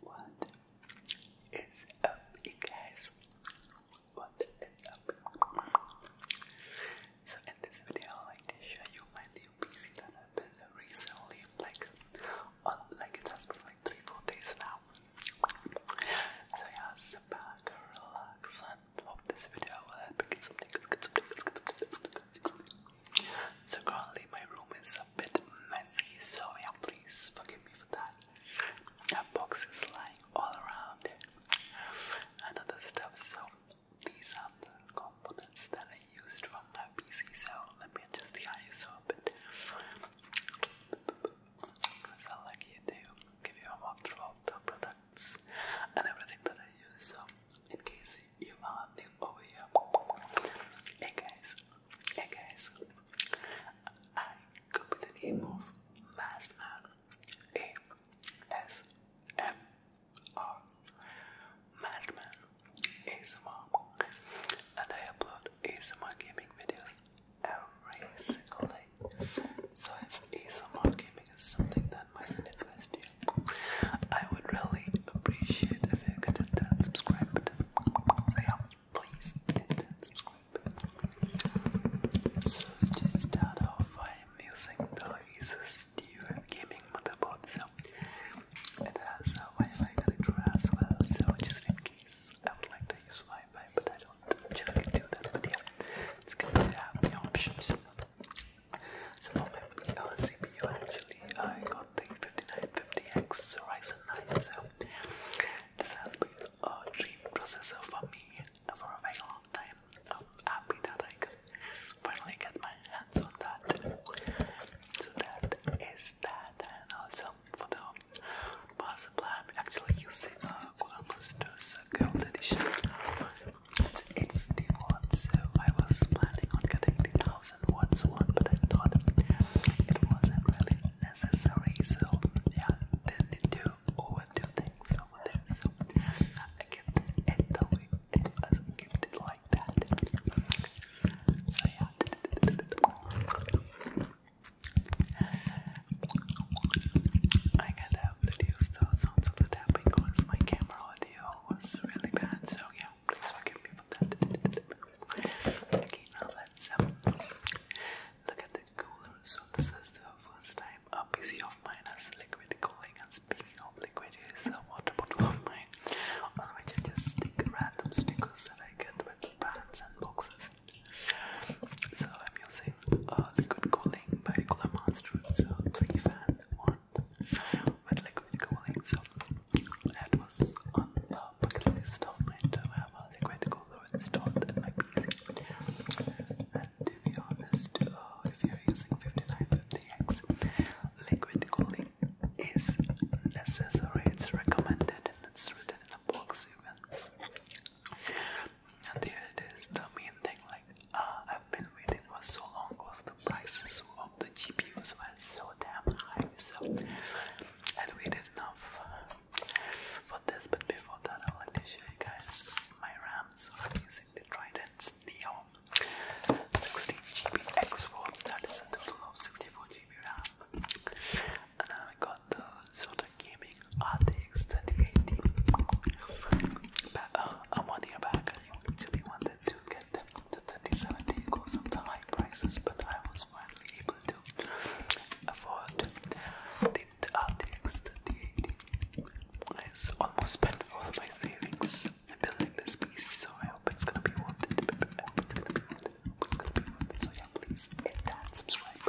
What is up, you guys? What is up? So in this video, I like to show you my new PC that I built recently, like like it has been like three, four days now. So yeah, sit back, relax, and hope this video will help you get something, get something, get something, get something, get something, get something, so currently my room is a bit messy, so yeah, please forgive me for that. That box is lying all around and other stuff. So these are the components that I used from my PC. So let me adjust the ISO a bit. Because I like you give you a walkthrough of the products and everything that I use. So in case Elon the OEM. Hey guys, hey guys, I go by the name of Last Man ASMR. Last Man ASMR. And I upload ASMR gaming videos every single day. So if ASMR gaming is something that might interest you, I would really appreciate if you could hit that subscribe button. So yeah, please hit that subscribe button. So let start off I am using the Asus DUF gaming motherboard. it has a Wi-Fi connector as well. So just in case I would like to use Wi-Fi, but I don't generally do that. But yeah, it's good to have the options. So for my uh, CPU actually I got the 5950X Ryzen 9 so this has been a dream processor for me for a very long time. I'm happy that I can finally get my hands on that. So that is that and also for the power supply I'm actually using a Golden Masters Gold Edition. It's 850 watts so I was planning on getting the 2001 one, but I thought it wasn't really necessary, so yeah, didn't do overdo things over there. So I kept it the way it was, I like that. So yeah. I kind of reduced those sounds of the tapping because my camera audio was really bad, so yeah, please forgive me Okay, now let's um, look at the cooler. So this is the first time a PC of mine has liquid cooling. And speaking of liquid, a water bottle of mine on which I just stick random stickers that I get with bands and boxes. So I'm using uh, liquid cooling by Cooler Monster. So three fan, one with liquid cooling. So that was on the bucket list of liquid cooler installed And to be honest, uh, if you're using 5950X, liquid cooling is necessary, it's recommended, and it's written in the box even. And here it is, the main thing like, uh, I've been waiting for so long was prices of the GPUs were so damn high, so and we did enough for this. But before that, I'd like to show you guys my RAM. So I'm using the Trident's Neo 16GB X4, that is a total of 64GB RAM. And now I got the Zotac Gaming RTX 3080. But, uh, um, one year back, I actually wanted to get the 3070 goes up high prices, but I was finally able to afford the RTX uh, 3080. I almost spent all my savings building this PC, so I hope it's gonna be worth it. it's gonna be worth it. So, yeah, please hit that subscribe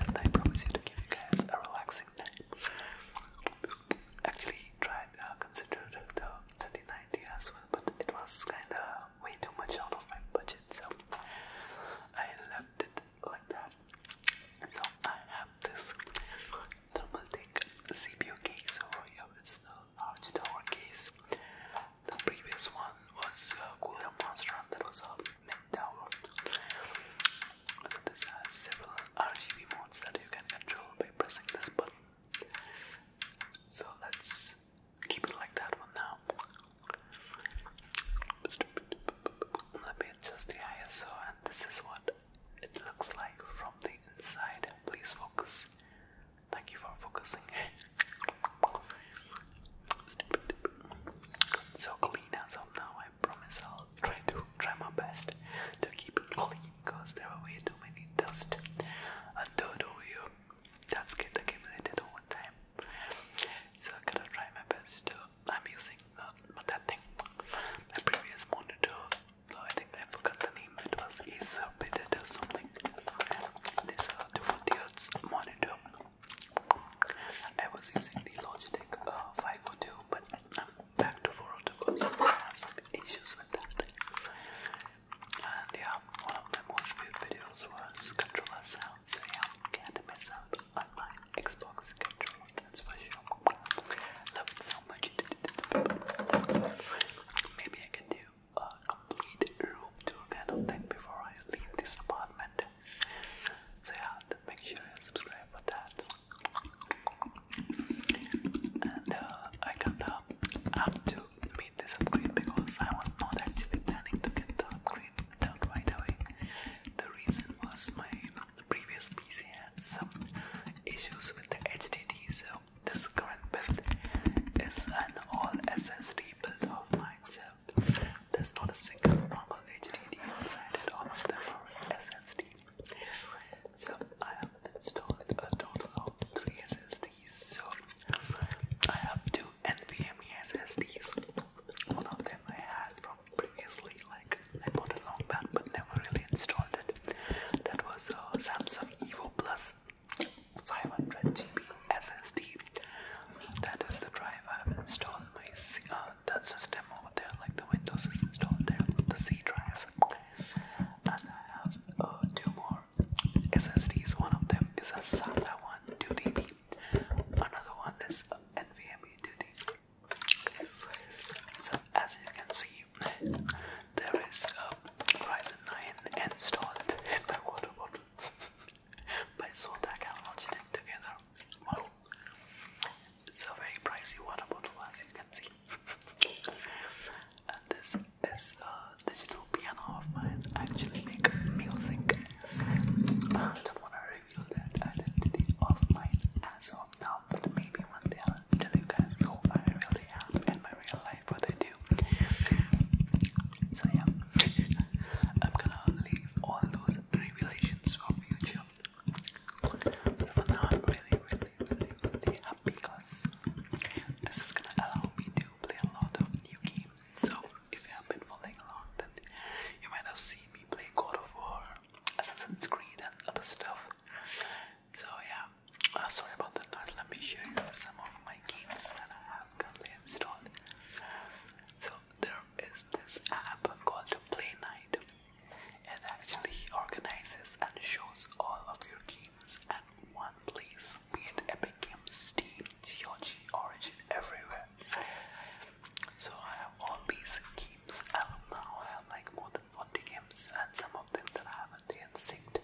And I promise you to give you guys a relaxing night. Actually, tried, uh, considered the 3090 as well, but it was kinda way too much out of my budget, so I left it like that. So I have this thermaltake CPU case over yeah, It's the large tower case. The previous one was a cooler monster, that was a mid tower. So this has several RGB modes that you can control by pressing this button. So let's keep it like that for now. Let me adjust the ISO, and this is what it looks like from the inside. Please focus. Thank you for focusing. so clean as now. I promise I'll try to try my best to keep it clean because there are way too many dust under the you. that's get accumulated one time. So I'm gonna try my best. To, I'm using uh, that thing, my previous monitor. I think I forgot the name. It was Acerbited or something. This is uh, 240 hertz monitor. I was using the Logitech uh, 502, but I'm back to 402 because I have some issues with that. And yeah, one of my most viewed videos was controller sound, so yeah, can't mess up on my Xbox controller, that's for sure. Love it so much. Maybe I can do a complete room tour kind of thing before I leave this apartment. So yeah, make sure you subscribe for that and uh, I can't help to meet this upgrade because I was not actually planning to get the upgrade done right away. The reason was my previous PC had some issues with the HDD, so this current build is an all SSD build of mine, so there's not a single normal HDD inside it, all of them are SSD. So I have installed a total of three SSDs. So I have two NVMe SSDs. One of them I had from previously, like I bought a long back, but never really installed it. That was a Samsung Evo Plus 500 GB SSD. That is the drive I have installed my uh, that system over there, like the Windows is installed there, the C drive. And I have uh, two more SSD is one of them, is a SATA one, 2DB. Another one is NVMe 2D. So as you can see, there is a Ryzen 9 installed in the water bottle. By Zotac and together. Wow. It's a very pricey water bottle as you can see. and this this a digital piano of mine actually make music. I don't want to reveal that identity of mine as now, maybe one day tell you guys who I really am in my real life, what I do. So yeah, I'm gonna leave all those revelations for future. But for now, really, really because this is gonna allow me to play a lot of new games. So, if you have been following along, then you might have seen me play God of War, Assassin's Creed, and other stuff. So, yeah, uh, sorry about the noise. Let me show you some of my games that I have currently installed. So, there is this app called Play Night. It actually organizes and shows all of your games one place, be it Epic Games, Steam, GOG, Origin, everywhere. So I have all these games, and now I have like more than 40 games, and some of them that I haven't yet synced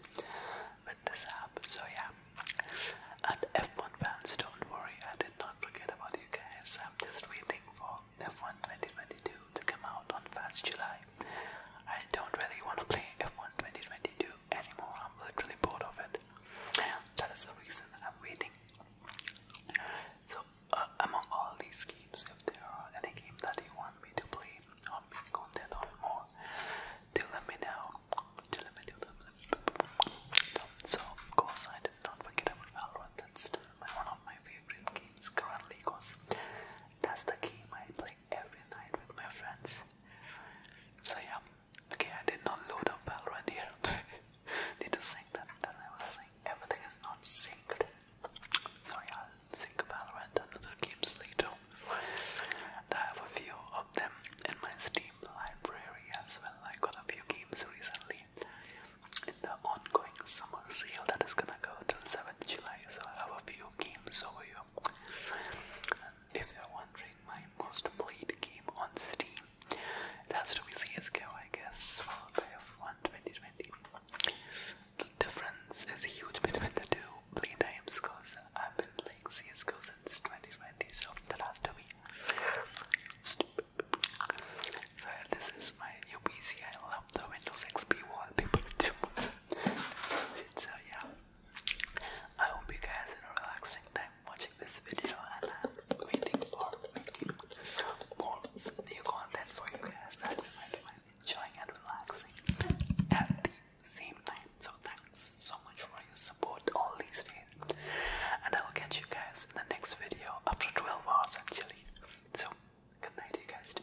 with this app. So yeah, and F1 fans, don't worry, I did not forget about you guys. I'm just waiting for F1 2022 to come out on 1st July. I don't really want to play F1 2022 anymore. I'm literally bored of it. That is the reason I'm waiting. So, uh, among all these games, if there are any game that you want me to play or content on more, do let me know. So, of course, I did not forget about Valorant. still one of my favorite games currently, because that's the game I play every night with my friends. So yeah, okay, I did not load up Valorant here. Need to sync that, then I was saying everything is not synced. So yeah, sync Valorant and other games later. And I have a few of them in my Steam library as well. I got a few games recently in the ongoing summer sale that is gonna go till 7th July. So I have a few video games overview. If you're wondering, my most played game on Steam, it has to be CSGO, I guess, followed by F1 2020. The difference is huge between the two play times because I've been playing CSGO since 2020, so the last two weeks. So this is my new PC. I love the Windows XP wallpaper too. so yeah, I hope you guys are in a relaxing time watching this video and I'm waiting for making more new content for you guys that you might find enjoying and relaxing at the same time. So thanks so much for your support all these days. And I'll catch you guys in the next video after 12 hours actually. So good night you guys.